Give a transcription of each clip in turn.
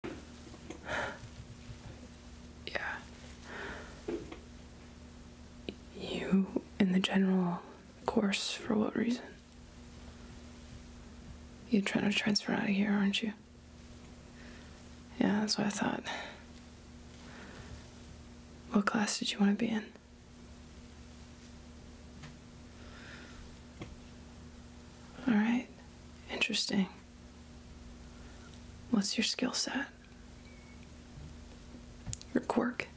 yeah. You in the general course, for what reason? You're trying to transfer out of here, aren't you? Yeah, that's what I thought. What class did you want to be in? All right, interesting. What's your skill set? Your quirk,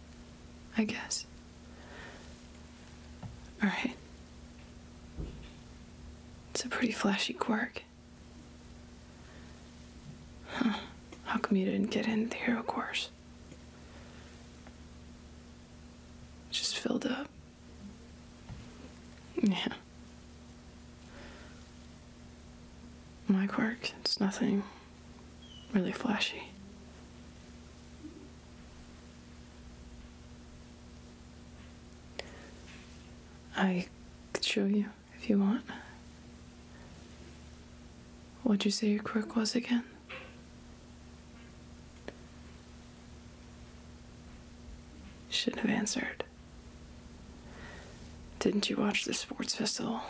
I guess. Alright. It's a pretty flashy quirk. Huh. How come you didn't get in the hero course? Just filled up. Yeah. My quirk, it's nothing really flashy. I could show you if you want. What'd you say your quirk was again? shouldn't have answered. Didn't you watch the sports festival?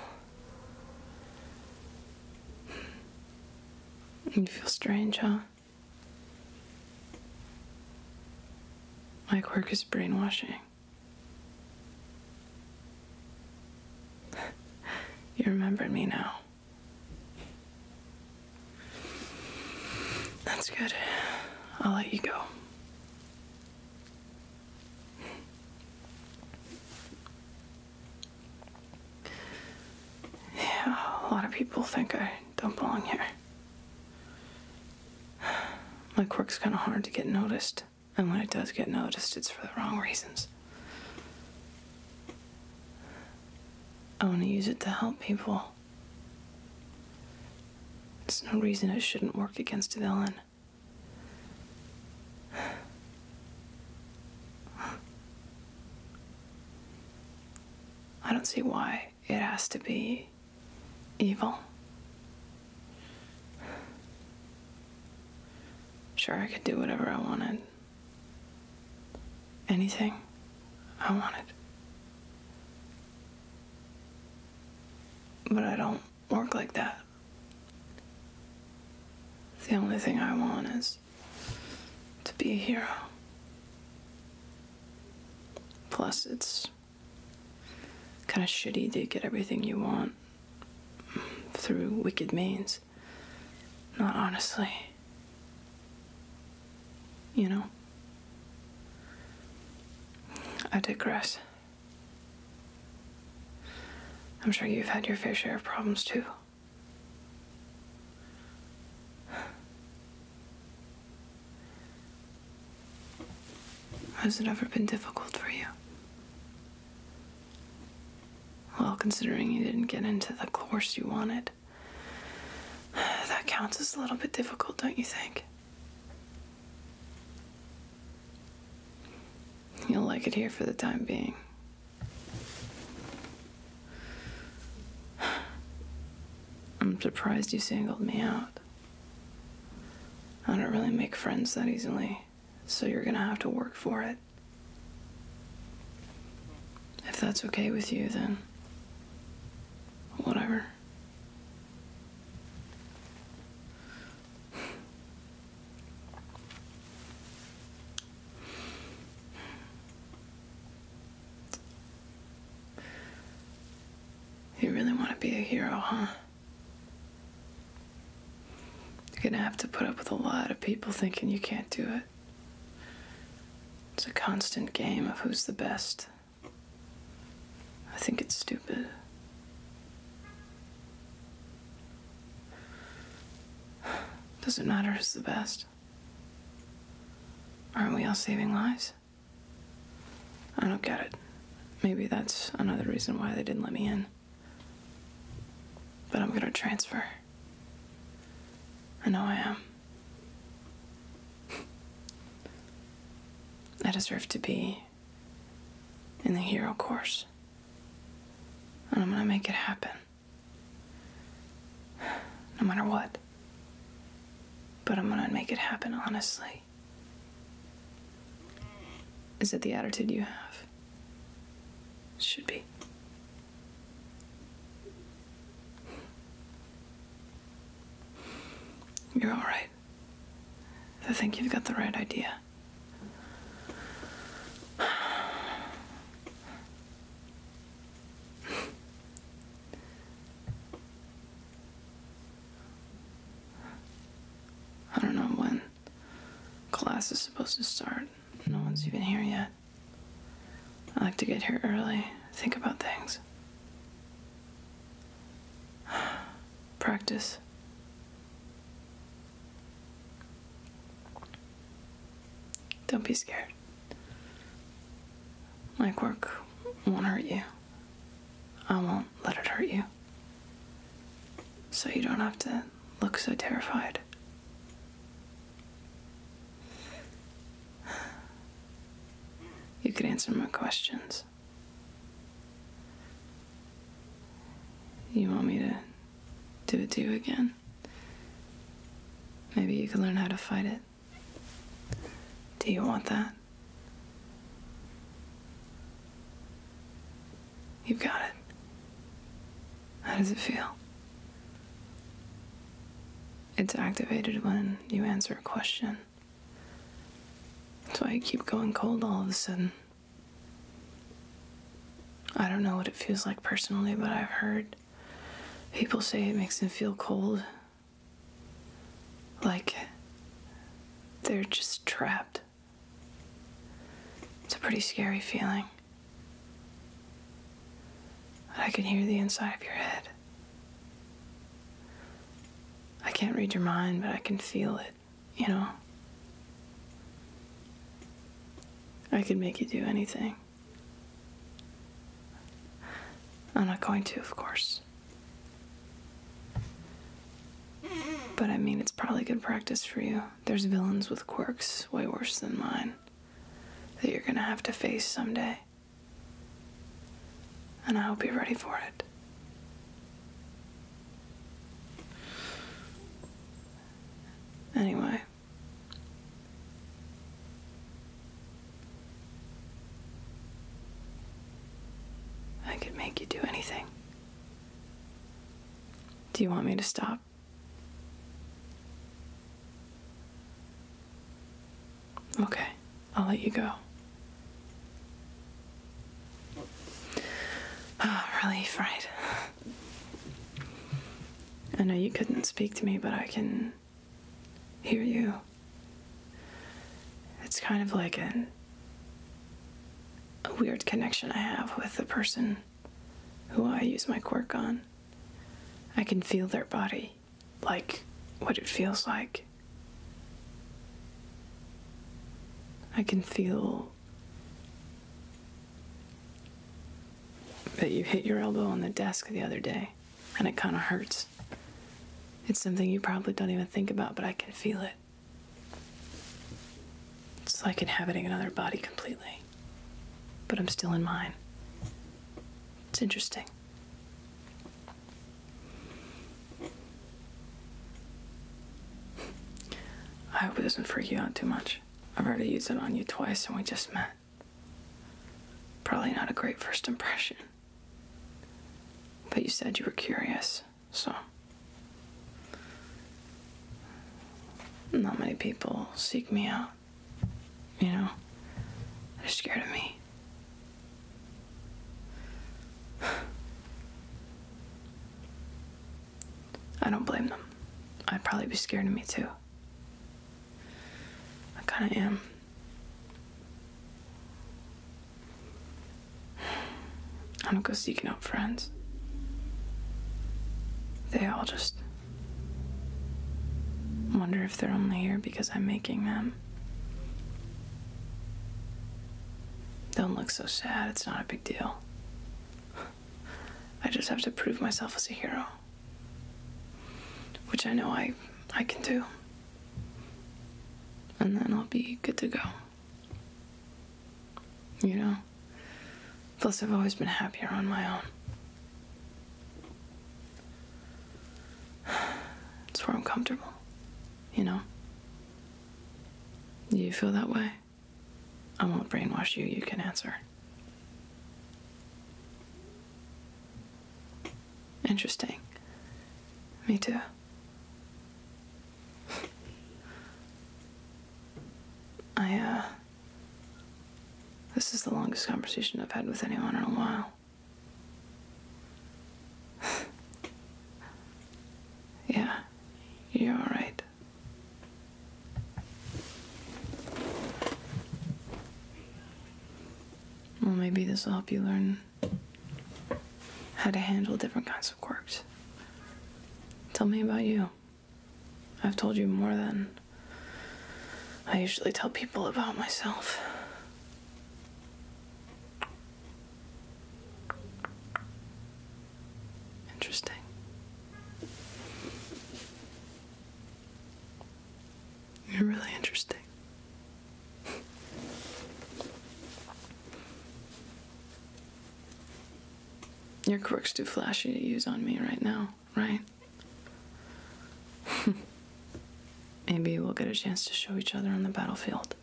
You feel strange, huh? My quirk is brainwashing. you remember me now. That's good. I'll let you go. Yeah, a lot of people think I don't belong here. My quirk's kind of hard to get noticed, and when it does get noticed, it's for the wrong reasons. I want to use it to help people. There's no reason it shouldn't work against villain. I don't see why it has to be evil. Sure, I could do whatever I wanted anything I wanted. But I don't work like that. The only thing I want is to be a hero. Plus, it's kind of shitty to get everything you want through wicked means. Not honestly. You know? I digress. I'm sure you've had your fair share of problems too. Has it ever been difficult for you? Well, considering you didn't get into the course you wanted, That counts as a little bit difficult, don't you think? You'll like it here for the time being. I'm surprised you singled me out. I don't really make friends that easily, so you're gonna have to work for it. If that's okay with you, then whatever. You really want to be a hero, huh? You're gonna have to put up with a lot of people thinking you can't do it. It's a constant game of who's the best. I think it's stupid. Doesn't matter who's the best. Aren't we all saving lives? I don't get it. Maybe that's another reason why they didn't let me in. But I'm gonna transfer. I know I am. I deserve to be in the hero course. And I'm gonna make it happen. No matter what. But I'm gonna make it happen honestly. Is it the attitude you have? should be. You're alright. I think you've got the right idea. I don't know when class is supposed to start. No one's even here yet. I like to get here early, think about things. Practice. Don't be scared. My quirk won't hurt you. I won't let it hurt you. So you don't have to look so terrified. You could answer my questions. You want me to do it to you again? Maybe you could learn how to fight it. Do you want that? You've got it. How does it feel? It's activated when you answer a question. That's why you keep going cold all of a sudden. I don't know what it feels like personally, but I've heard people say it makes them feel cold. Like they're just trapped. It's a pretty scary feeling. I can hear the inside of your head. I can't read your mind, but I can feel it, you know? I could make you do anything. I'm not going to, of course. But I mean, it's probably good practice for you there's villains with quirks way worse than mine that you're gonna have to face someday. And I hope you're ready for it. Anyway. I could make you do anything. Do you want me to stop? Okay, I'll let you go. Oh, ah, relief, right? I know you couldn't speak to me, but I can hear you. It's kind of like an a weird connection I have with the person who I use my quirk on. I can feel their body, like what it feels like. I can feel that you hit your elbow on the desk the other day and it kind of hurts. It's something you probably don't even think about, but I can feel it. It's like inhabiting another body completely, but I'm still in mine. It's interesting. I hope it doesn't freak you out too much. I've already used it on you twice and we just met. Probably not a great first impression. But you said you were curious. So, not many people seek me out. You know, they're scared of me. I don't blame them. I'd probably be scared of me too. I kinda am. I don't go seeking out friends. They all just wonder if they're only here because I'm making them. Don't look so sad, it's not a big deal. I just have to prove myself as a hero. Which I know I I can do. And then I'll be good to go. You know? Plus, I've always been happier on my own. It's where I'm comfortable, you know? You feel that way? I won't brainwash you, you can answer. Interesting. Me too. I, uh, This is the longest conversation I've had with anyone in a while. yeah, you're alright. Well, maybe this will help you learn how to handle different kinds of quirks. Tell me about you. I've told you more than I usually tell people about myself. Interesting. You're really interesting. Your quirk's too flashy to use on me right now, right? Maybe we'll get a chance to show each other on the battlefield.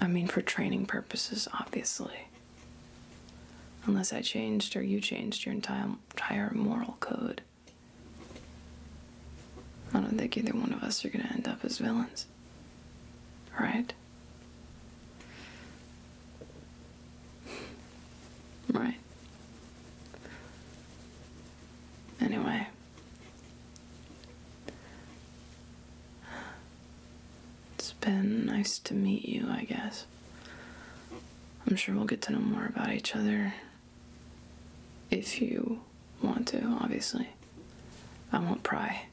I mean, for training purposes, obviously. Unless I changed or you changed your entire, entire moral code. I don't think either one of us are gonna end up as villains. Right? Right. Anyway. It's been nice to meet you, I guess. I'm sure we'll get to know more about each other if you want to, obviously. I won't pry.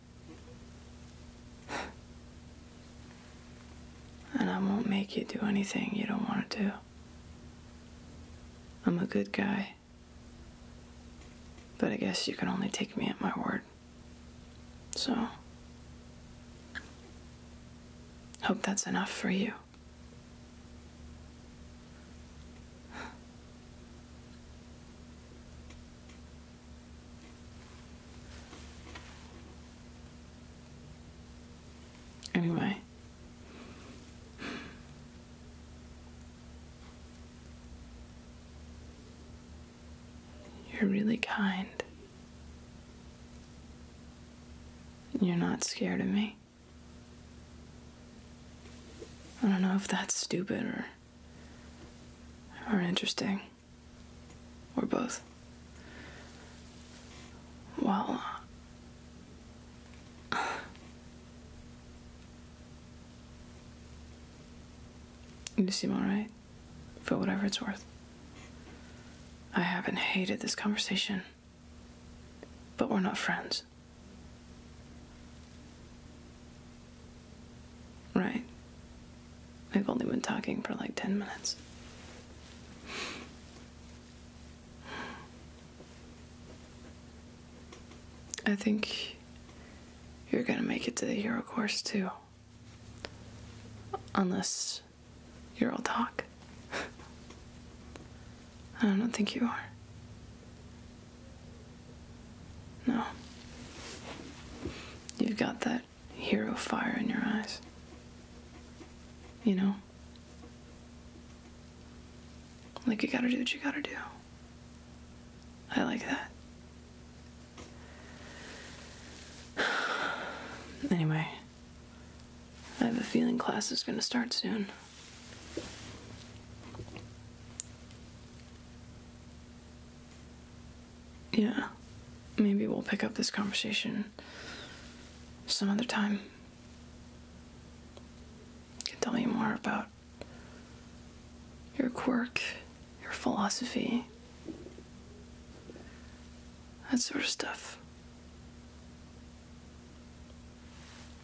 and I won't make you do anything you don't want to do. I'm a good guy. But I guess you can only take me at my word. So. Hope that's enough for you. Anyway. You're really kind. You're not scared of me. I don't know if that's stupid or or interesting or both. Well, uh, you seem all right, for whatever it's worth. I haven't hated this conversation. But we're not friends. Right. We've only been talking for like 10 minutes. I think you're gonna make it to the hero course too. Unless you're all talk. I don't think you are. No. You've got that hero fire in your eyes. You know? Like you gotta do what you gotta do. I like that. Anyway. I have a feeling class is going to start soon. Yeah, maybe we'll pick up this conversation some other time. can tell me more about your quirk, your philosophy, that sort of stuff.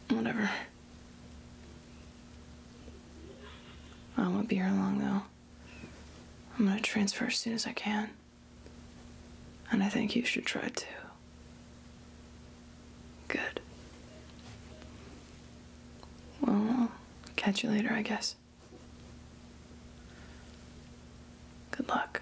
Whatever. I won't be here long, though. I'm gonna transfer as soon as I can. And I think you should try too. Good. Well, catch you later, I guess. Good luck.